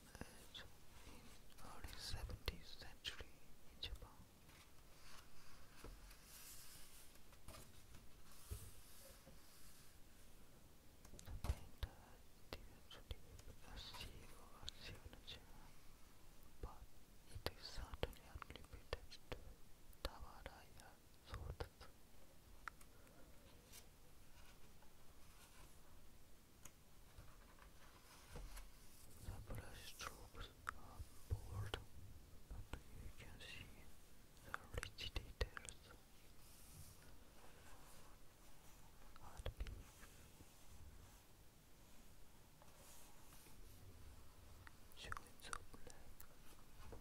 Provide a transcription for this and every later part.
in early 17th century in Japan. The painter had developed a seal or signature, but it is certainly attributed to Tavaraya Sotsu. The brush strokes are bold, but you can see the rich details. Showing so black and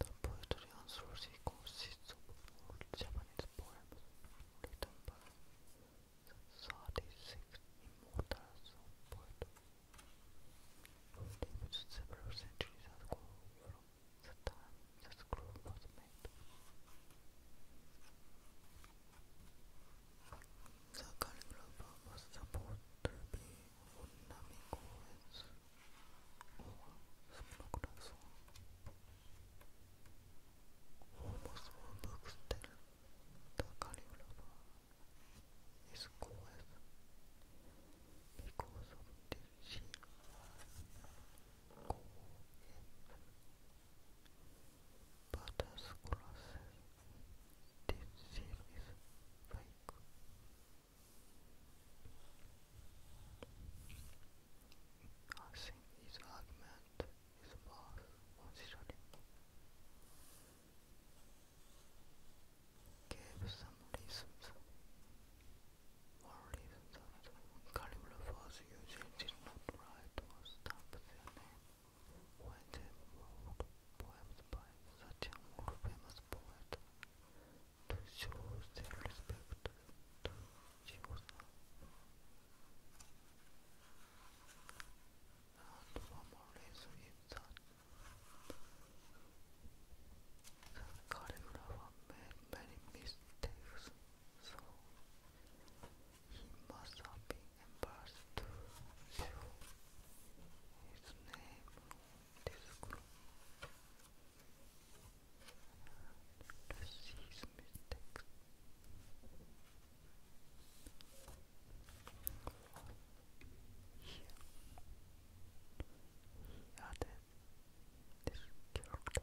The poetry on Sushi consists of old Japanese poems written by the 36 immortals of poetry who lived several centuries ago the time the scroll was made. The calligrapher was supposed to be Funamikowitz Almost all books tell the calligrapher is Kowitz because of this sheer this seal is his argument is worth Gave some reasons. One reason that Caligula was did not write or stamp Whitehead wrote poems by such a more famous poet to show their respect to Jews and one more reason is that the calligrapher made many mistakes, so he must have imparts his name this group and to see Here, he added this character.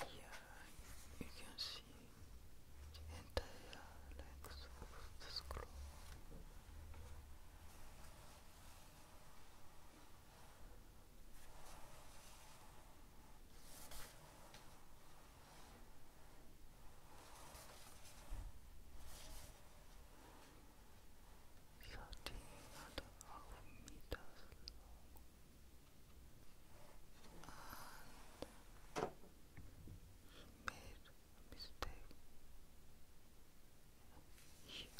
Here you can see entire length of the scroll thirteen and a half meters a very first part. He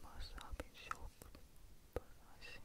must have been shocked, but I think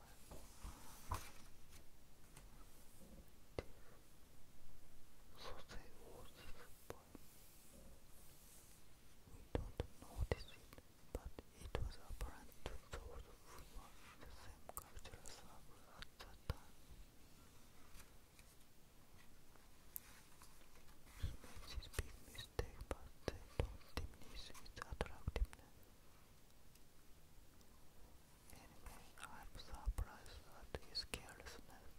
So they We don't notice it, but it was apparent to those who were the same cultural circle at that time. He made big mistake, but they don't diminish its attractiveness. Anyway, I'm surprised at his carelessness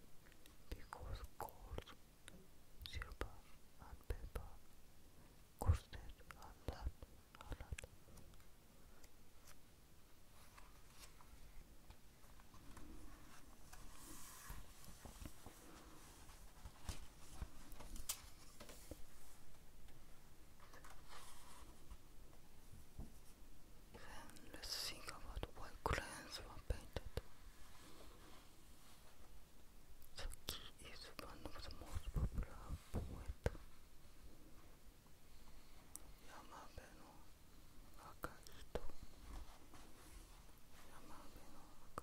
because gold, silver, and paper costed a lot, a lot let's think about what crayons were painted. Saki is one of the most popular poets. Yamabe no Akahito. Yamabe no Akahito.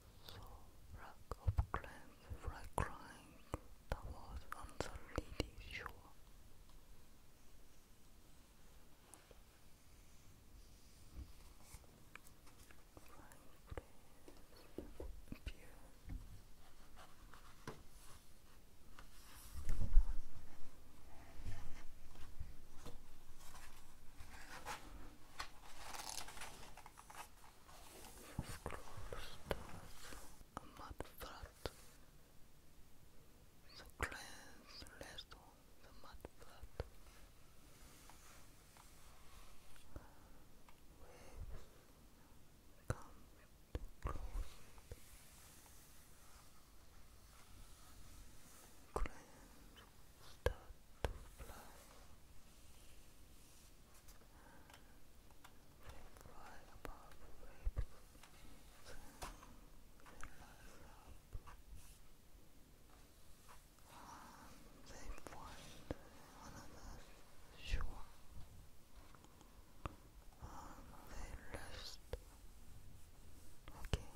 wreck of clams were crying that was on the leading shore. Right, close doors, a mud The cleanse rest on the mud Waves come close. Cleanse start to fly. They fly above the waves, they rise up. Um, they find another shore. Um, Okay.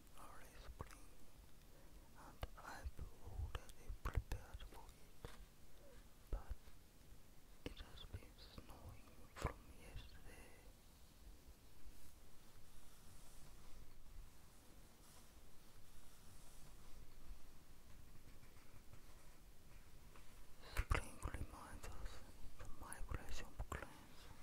early spring, and I've already prepared for it, but it has been snowing from yesterday. Spring reminds us the migration plans.